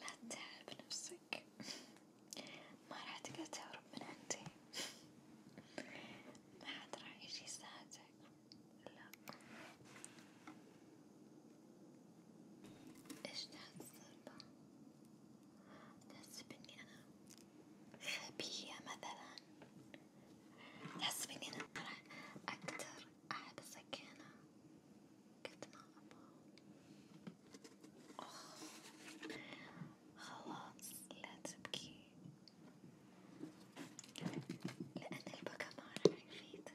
لا تتعب نفسك ما راح تقدر تهرب من عندي ما حد راح يجي يساعدك لا ايش تحسب؟ تحسب اني انا غبية مثلا تحس فيني أنا أكتر أحب السكينة قد ما أبغى، خلاص لا تبكي لأن البكا ما راح يفيدك.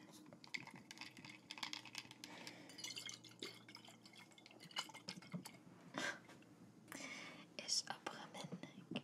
إيش أبغى منك؟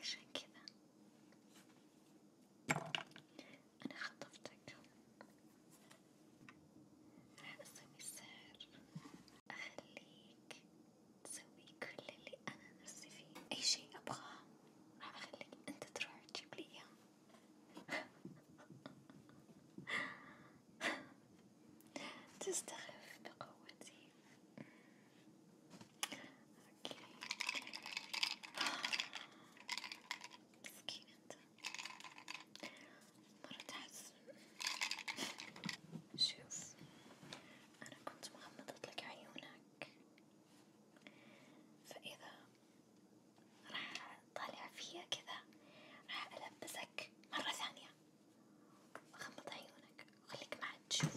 عشان كذا أنا خطفتك راح أسوي سحر أخليك تسوي كل اللي أنا نفسي فيه أي شي أبغاه راح أخليك أنت تروح تجيب لي إياه تستخف بقوتي مسكين انت مرة تحس شوف انا كنت مغمضت لك عيونك فاذا راح طالع فيا كذا راح البسك مرة ثانية غمض عيونك خليك معي تشوف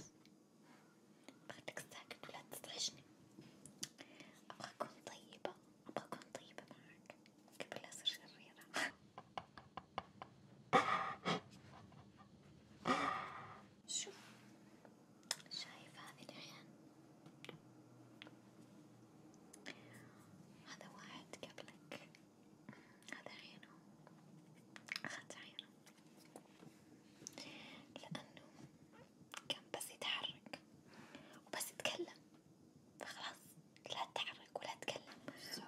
بغيتك ساكت ولا تزعجني ابغى اكون طيبة ابغى اكون طيبة معك قبل لا اصير شريرة شوف شايف هذه العين هذا واحد قبلك هذا عينه أخذت عينه لأنه كان بس يتحرك وبس يتكلم فخلاص لا تتحرك ولا تتكلم so.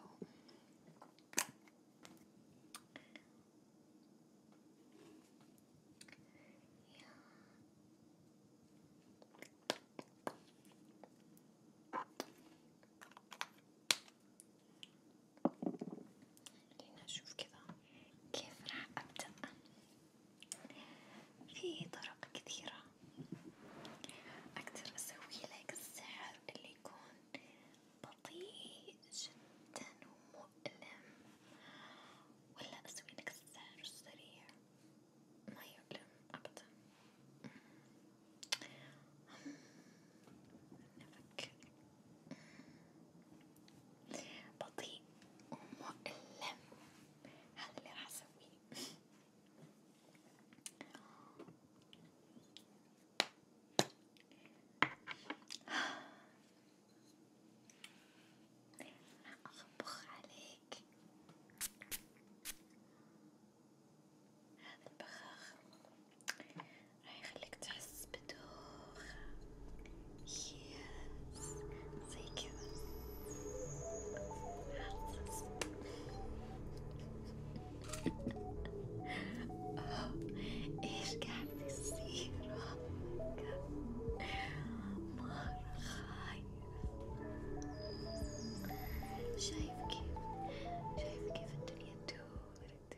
خلينا نشوف كذا كيف راح أبدأ في طرق كثيرة أقدر أسوي لك السحر اللي يكون بطيء جدا ومؤلم ولا أسوي لك السحر السريع ما يؤلم أبدا أمم. نفك بطيء ومؤلم هذا اللي راح اسويه راح اخبخ عليك هذا البخاخ راح يخليك تحس بدوخة يس زي كذا أوه إيش قاعد يصير مرة خايف شايف كيف شايف كيف الدنيا تدور تدور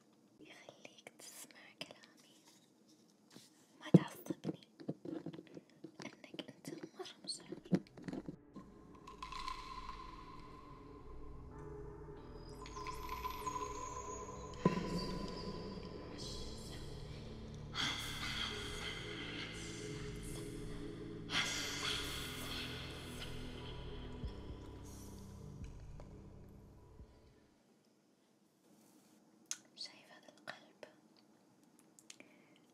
يخليك تسمع كلامي وما تعصبني لأنك أنت مرة مشاعر شايف هذا القلب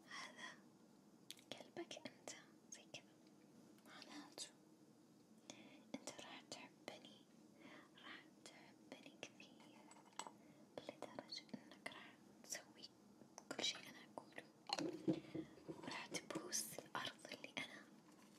هذا قلبك انت زي كذا معناته انت راح تحبني راح تحبني كثير لدرجة انك راح تسوي كل شي انا اقوله وراح تبوس الارض اللي انا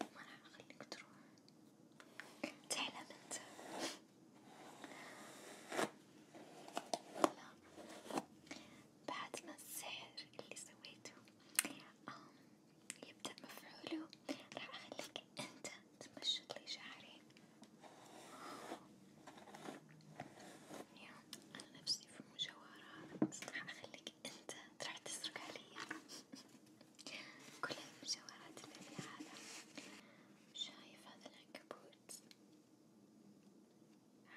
ما راح اخليك تروح تعلم انت لا بعد ما السحر اللي سويته يبدأ مفعوله راح اخليك انت تمشط لي شعري يا انا نفسي في مجوهرات راح اخليك انت تروح تسرق عليا كل المجوهرات اللي في العالم شايف هذا العنكبوت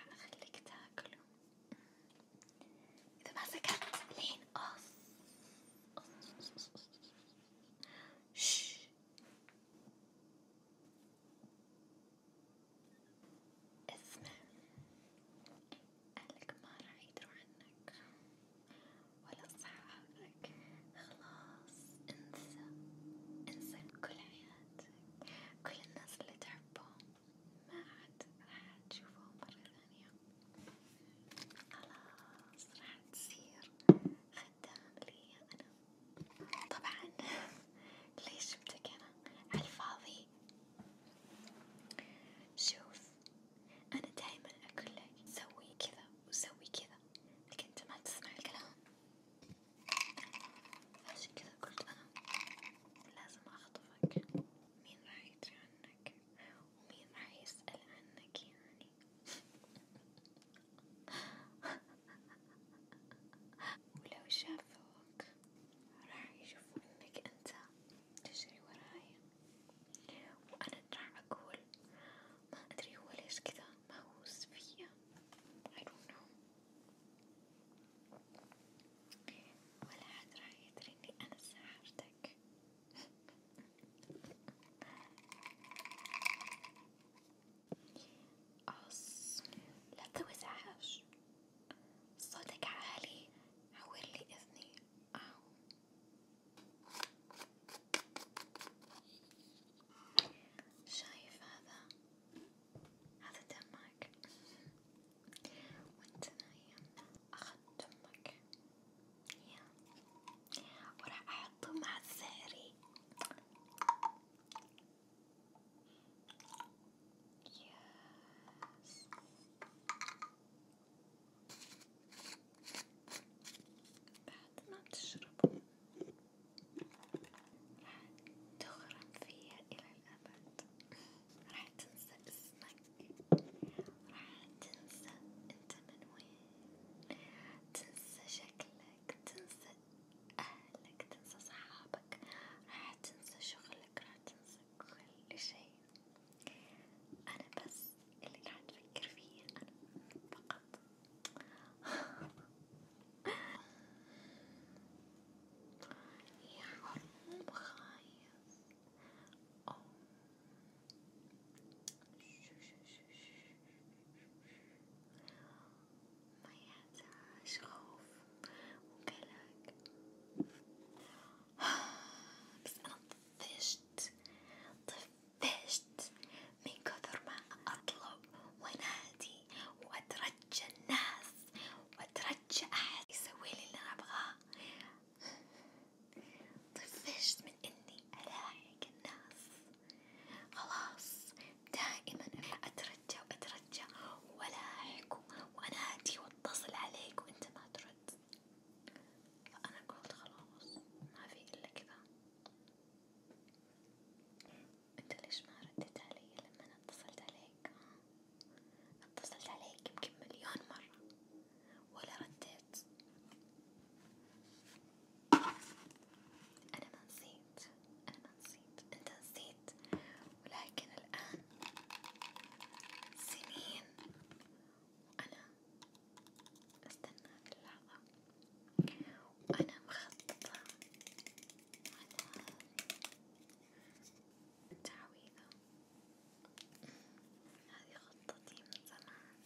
حأخليك تاكله إذا ما سكت لين أص اسمع أهلك ما راح يدروا عنك ولا أصحابك، خلاص انسى انسى كل حياتك، كل الناس اللي تحبهم ما عاد راح تشوفهم مرة ثانية، خلاص راح تصير خدام لي أنا، طبعا ليش جبتك أنا؟ عالفاضي، شوف أنا دايما أقول لك سوي كذا وسوي كذا لكن أنت ما تسمع الكلام عشان كذا قلت أنا لازم أخطفك مين راح يدري عنك ومين راح يسأل عنك يعني ولو شافوك راح يشوفوا إنك أنت تجري وراي وأنا راح أقول ما أدري هو ليش كذا مهووس فيا I don't know ولا حد راح يدري إني أنا ساحرتك أص لا توزعهاش صوتك عالي عورلي إذني أو شايف هذا هذا دمك وانت نايم أخذت دمك يا وراح أحطه مع الزهري يس بعد ما تشربه راح تغرم فيها إلى الأبد راح تنسى اسمك راح تنسى انت من وين تنسى شكلك تنسى أهلك تنسى صحابك راح تنسى شغلك راح تنسى كل شيء أنا بس اللي راح تفكر فيه أنا فقط يا حرام خايس أوه. ما يحتاج خوف وقلق بس أنا طفشت طفشت من كثر ما أطلب وأنادي وأترجى الناس وأترجى أحد يسويلي اللي أنا أبغاه طفشت من إني ألاحق الناس خلاص دائما أترجى وأترجى وألاحق وأنادي وأتصل عليك وأنت ما ترد بعد فأنا قلت خلاص ما في إلا كذا أنت ليش ما رديت علي لما أنا اتصلت عليك؟ اتصلت عليك يمكن مليون مرة ولا رديت أنا ما نسيت أنا ما نسيت أنت نسيت ولكن الآن سنين وأنا أستنى هذه اللحظة وأنا مخططة على التعويذة هذه خطتي من زمان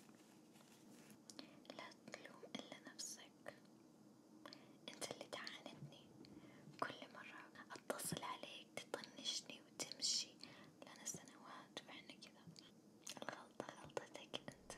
لا تلوم إلا نفسك أنت اللي تعاندني كل مرة أتصل عليك تطنشني وتمشي لنا سنوات وإحنا كذا الغلطة غلطتك أنت.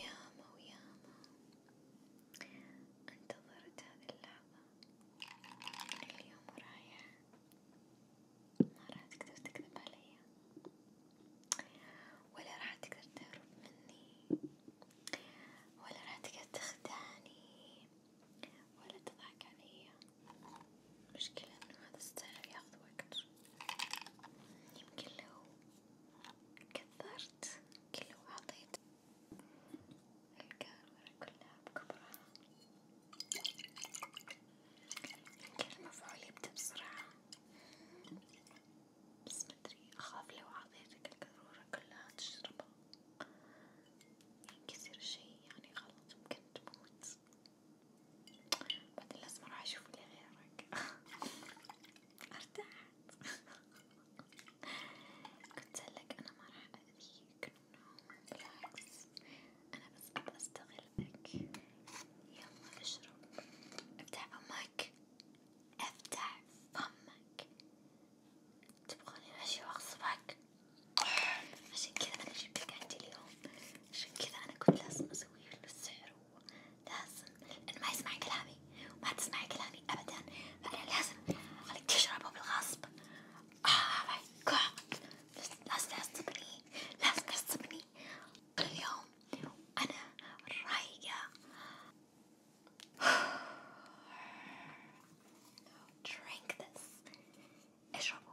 ياما وياما انتظرت هذه اللحظة من اليوم ورايح ما راح تقدر تكذب علي ولا راح تقدر تهرب مني ولا راح تقدر تخدعني ولا تضحك علي مشكلة انه هذا السحر ياخذ وقت يمكن لو كثرت يمكن لو عطيت الكاميرا كلها بكبرها يمكن المفعول يبدأ بسرعة بس مدري أخاف لو عطيتك القارورة كلها تشربها ينكسر شي يعني غلط ممكن تموت بعدين لازم اروح اشوف اللي غيرك ارتحت قلت لك انا ما راح اذيك بالعكس انا بس بدي استغلك يلا اشرب افتح فمك افتح فمك تبغاني ماشي واغصبك عشان كذا انا جبتك عندي اليوم عشان كذا انا كنت لازم اسوي له السحر لازم لأنه ما يسمع كلامي وما تسمع كلامي أبدا فأنا لازم أخليك تشربه بالغصب آه ماي جاد لازم تعصبني لازم تعصبني كل يوم أنا رايقة drink this اشربوا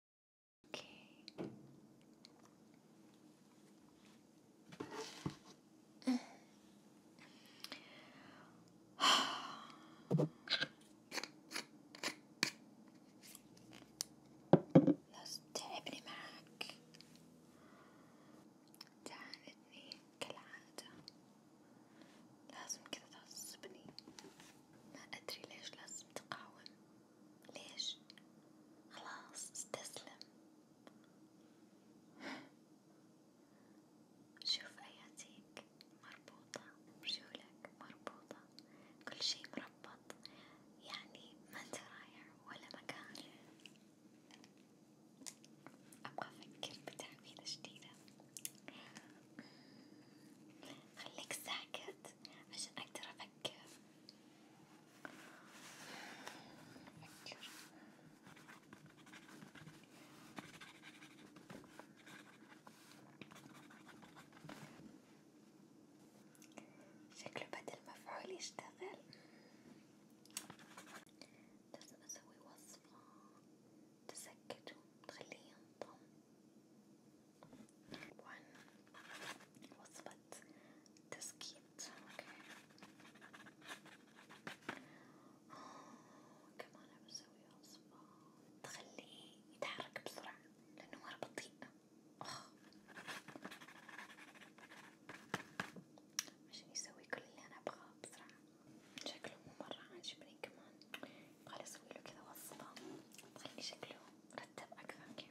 اوكي خلاص تعبني معاك تعاندني كالعادة لازم كذا تعصبني ما أدري ليش لازم تقاوم ليش؟ خلاص استسلم شوف اياتيك مربوطة رجولك مربوطة كل شي مربط يعني ما انت رايح ولا مكان ابغى افكر بتعويذة جديدة خليك ساكت عشان اقدر افكر نفكر شكله بدل مفعول يشتغل لازم أسوي وصفة تسكته تخليه ينطم وصفة تسكيت تسكيت اوكي كمان عم بسوي عصفة تخليه يتحرك بسرعة لأنه مرة بطيء أخ عشان يسوي كل اللي أنا أبغاه بسرعة شكله مو مرة عاجبني كمان يبغالي أسويله كذا وصفة تخلي شكله مرتب أكثر كي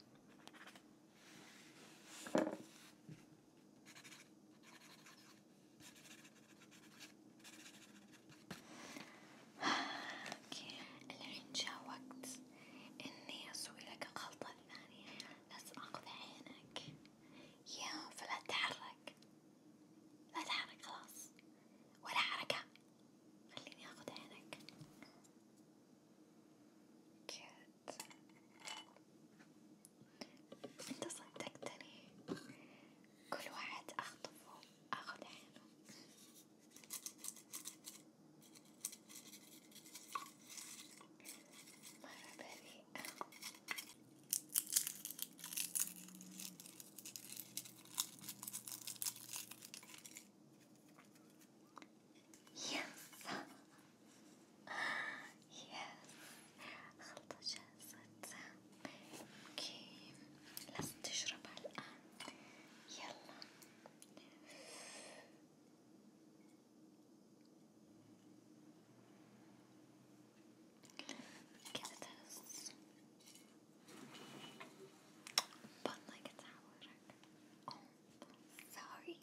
الحين جاء وقت إني أسوي لك الخلطة الثانية، بس آخذ عينك، يا فلا تتحرك، لا تتحرك خلاص، ولا حركة، خليني آخذ عينك، كذا انت صدقتني كل واحد اخطفه اخذ عينه مرة بريئة يس يس خلطة جاهزة اوكي لازم تشربها الآن يلا كذا تهز بطنك تعورك أوه سوري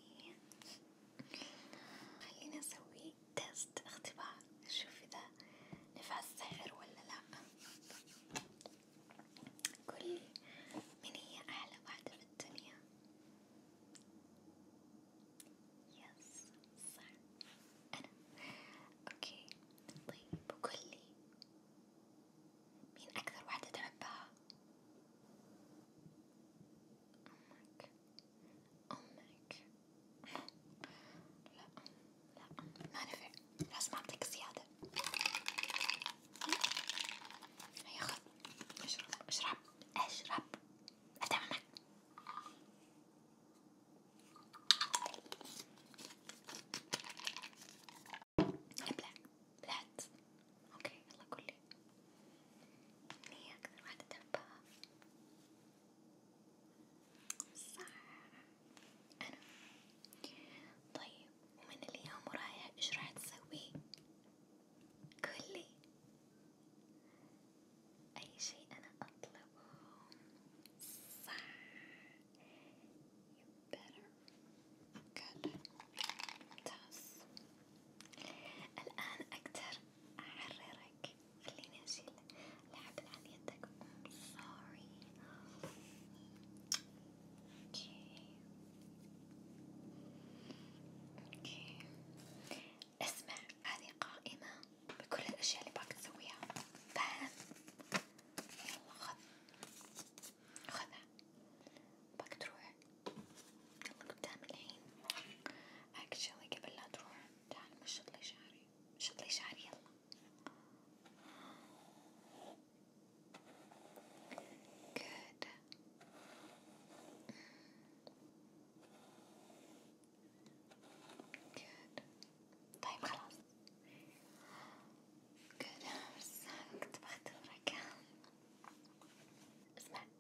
خلينا نسوي تيست اختبار نشوف إذا نفع السحر ولا لأ قولي من هي أحلى واحدة في الدنيا؟ يس صح أنا أوكي طيب وقولي مين أكثر واحدة تحبها؟ أمك أمك لا لا ما نفع لازم أعطيك زيادة هيا خذ اشرب اشرب اشرب أتممك ابلع ذات اوكي يلا قولي هي اكثر واحدة تحبها صح انا طيب ومن اليوم ورايح ايش راح تسوي؟ قولي اي شيء انا اطلبه صح You better. Good. ممتاز الآن أقدر أحررك، خليني أشيل الحبل عن يدك، I'm sorry اوكي اوكي اسمع هذه قائمة بكل الأشياء اللي باك تسويها، فاهم؟ يلا خذ خذها باك تروح يلا قدام الحين اكشلي قبل لا تروح تعال مشط لي شعري مشط لي شعري يلا Good. Good. طيب خلاص. Good. بس كنت بختبرك. اسمع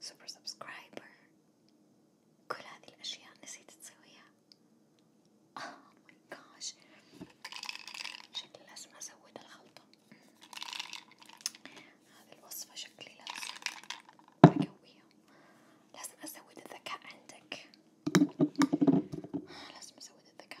سوبر سبسكرايبر كل هذه الأشياء نسيت تسويها اوه ماي جاش شكلي لازم أزود الخلطة هذه الوصفة شكلي لازم أقويها لازم أزود الذكاء عندك لازم أزود الذكاء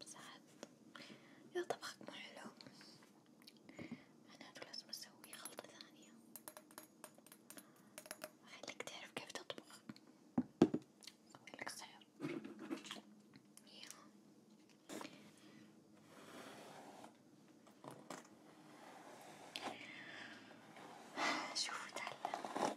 بساعات إذا طبخك مو حلو معناته لازم أسوي خلطة ثانية أخليك تعرف كيف تطبخ أسويلك سحر شوفوا تعلم